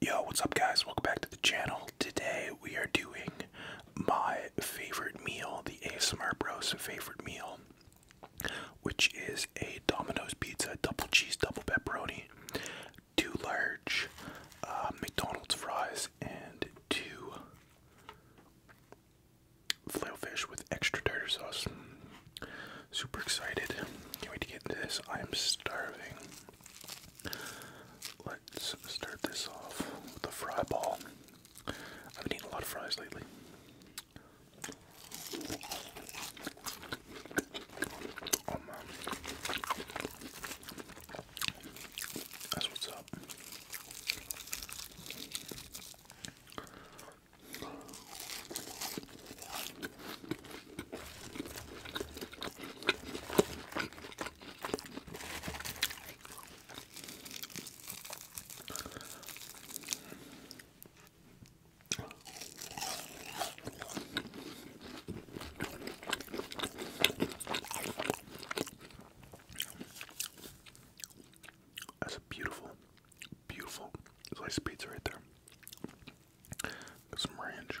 Yo, what's up, guys? Welcome back to the channel. Today we are doing my favorite meal, the ASMR Bros' favorite meal, which is a Domino's pizza, double cheese, double pepperoni, two large uh, McDonald's fries, and two flail fish with extra tartar sauce. Super excited. Can't wait to get into this. I am starving. Let's start this off with a fry ball. I've been eating a lot of fries lately. Oh, that's what's up. That's a beautiful, beautiful slice of pizza right there. Get some ranch.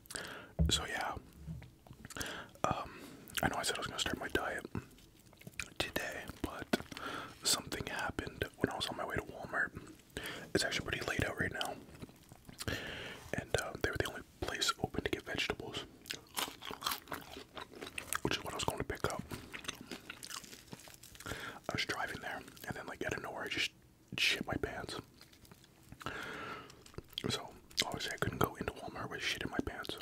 So yeah, um, I know I said I was gonna start my diet today, but something happened when I was on my way to Walmart. It's actually pretty late out right now, and uh, they were the only place open to get vegetables, which is what I was going to pick up. I was driving there, and then like out of nowhere, I just shit my pants. So obviously I couldn't go into Walmart with shit in my pants, so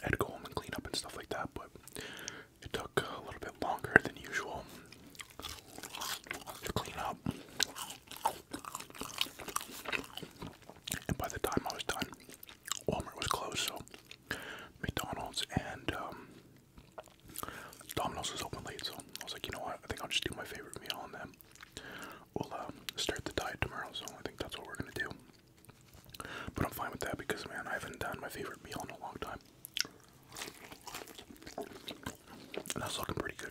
I had to go home and clean up and stuff like that. But it took a little bit longer than usual to clean up. And by the time I was done, Walmart was closed, so McDonald's and um, Domino's was open late, so I was like, you know what? I think I'll just do my favorite meal on them. We'll um, start the diet tomorrow, so I think that's what we're gonna do. But I'm fine with that because, man, I haven't done my favorite meal in a long time. And that's looking pretty good.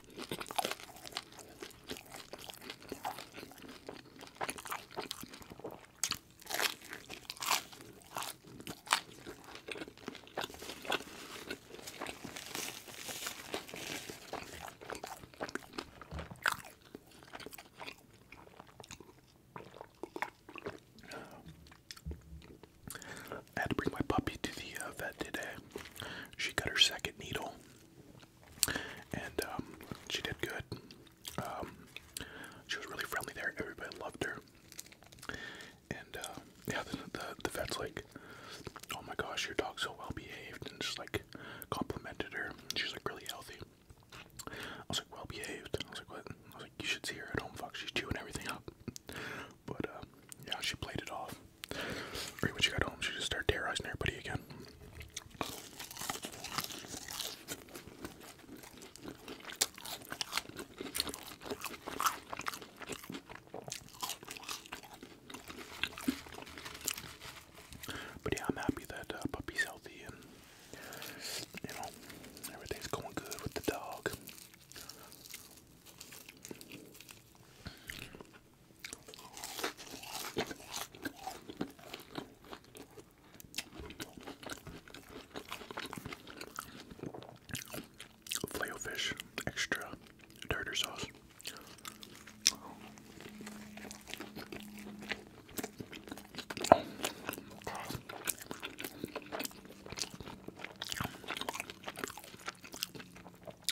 I had to bring my puppy to the uh, vet today. She got her second needle and um, she did good. Um, she was really friendly there. Everybody loved her. And uh, yeah, the, the vet's like, "Oh my gosh, your dog's so well behaved," and just like complimented her. She's like really healthy. I was like, "Well behaved." I was like, "What?" I was like, "You should see her at home. Fuck, she's chewing everything up." But uh, yeah, she played it off. Right when she got home, she just started terrorizing everybody again. But yeah, I'm happy that uh, puppy's healthy and you know everything's going good with the dog. Flail fish, extra tartar sauce. Oh,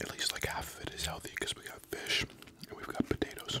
At least like half of it is healthy because we got fish and we've got potatoes.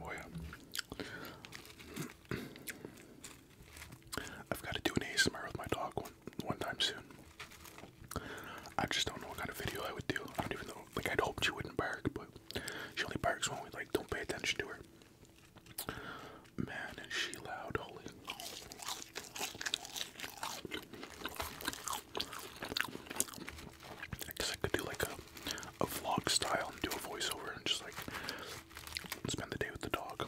Oh yeah. I've got to do an ASMR with my dog one one time soon. I just don't know what kind of video I would do. I don't even know. Like, I'd hoped she wouldn't bark, but she only barks when we, like, don't pay attention to her. Man, is she loud, holy. I guess I could do, like, a, a vlog style and do a voiceover and just, like, spend the day with the dog.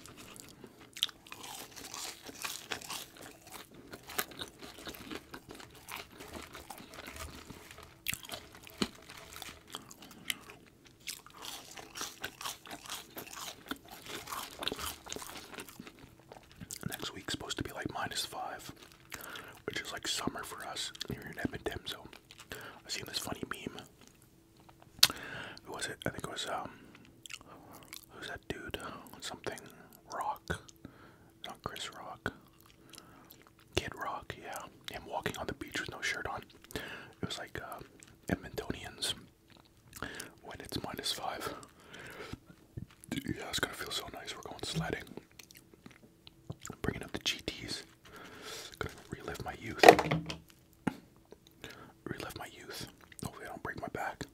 Next week's supposed to be like minus five, which is like summer for us here in Edmonton. So I've seen this funny meme. Who was it? I think it was um that? dude? Something Rock. Not Chris Rock. Kid Rock, yeah. Him walking on the beach with no shirt on. It was like uh, Edmontonians when it's minus five. Yeah, it's gonna feel so nice. We're going sledding. bringing up the GTs. Gonna relive my youth. Relive my youth. Hopefully, I don't break my back.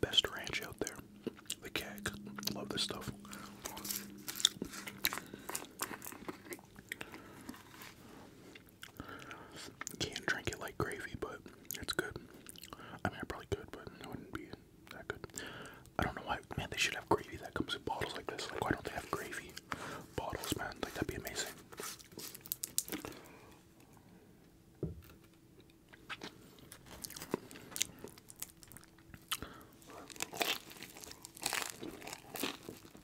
Best ranch out there. The keg. Love this stuff. Can't drink it like gravy, but it's good. I mean, I probably good, but it wouldn't be that good. I don't know why, man. They should have gravy that comes in bottles like this. Like, why don't they have gravy bottles, man? Like, that'd be amazing.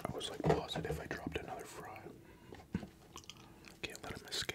I was like positive I dropped another fry. Can't let him escape.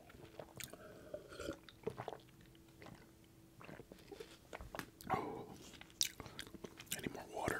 Oh, I need more water.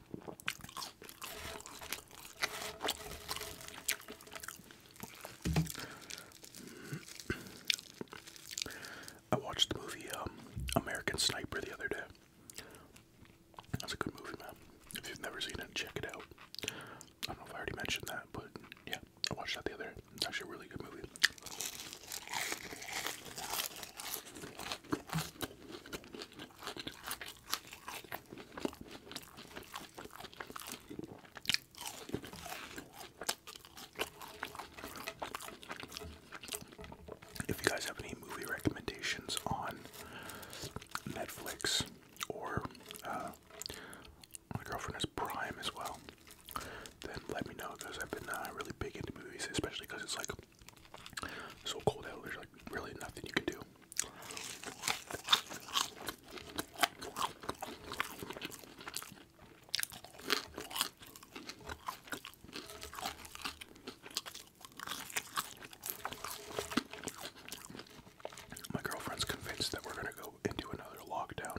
I watched the movie um, American Sniper the other day. That's a good movie, man. If you've never seen it, check it out. I don't know if I already mentioned that, but yeah, I watched that the other day. It's actually a really good movie. If you guys have any movie recommendations on Netflix or uh, my girlfriend has Prime as well, then let me know because I've been uh, really big into movies, especially because it's like so cold out, there's like really nothing you can do. My girlfriend's convinced that we're gonna go into another lockdown.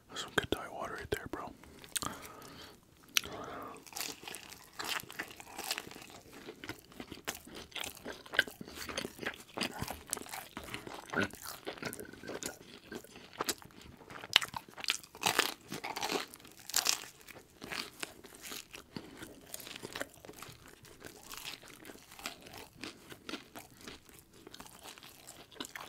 That's some good diet water right there, bro.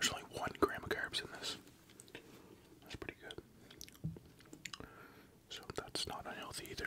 There's only one gram of carbs in this. That's pretty good. So that's not unhealthy either.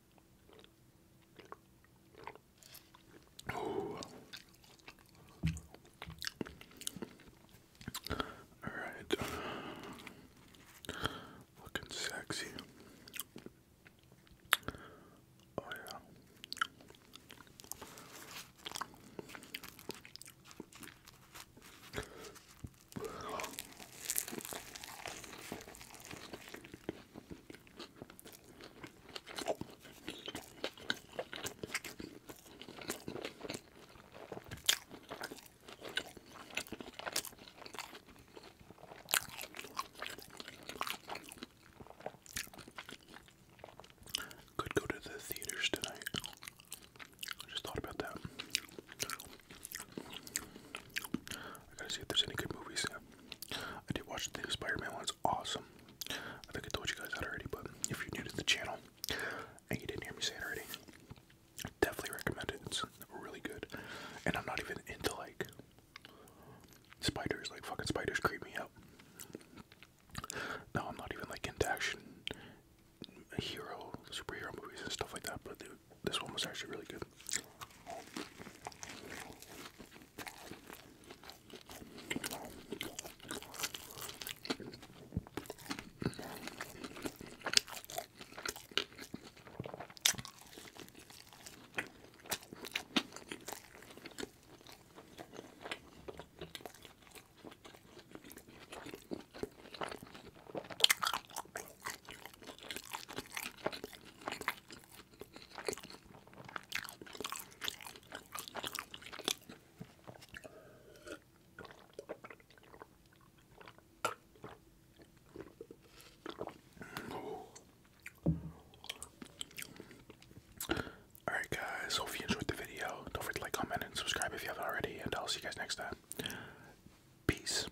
All right. Looking sexy. Oh yeah. Could go to the theaters tonight. I just thought about that. I gotta see if there's any good movies. I did watch the Spider-Man one. It's awesome. I think I told you guys that already, but if you're new to the channel and you didn't hear me say it already, I definitely recommend it. It's really good. And I'm not even into like spiders. Like fucking spiders creep me out. No, I'm not even like into action hero, superhero movies and stuff like that. But the this one was actually really good. Alright, guys, hope you enjoyed the video. Don't forget to like, comment, and subscribe if you haven't already, and I'll see you guys next time. Peace.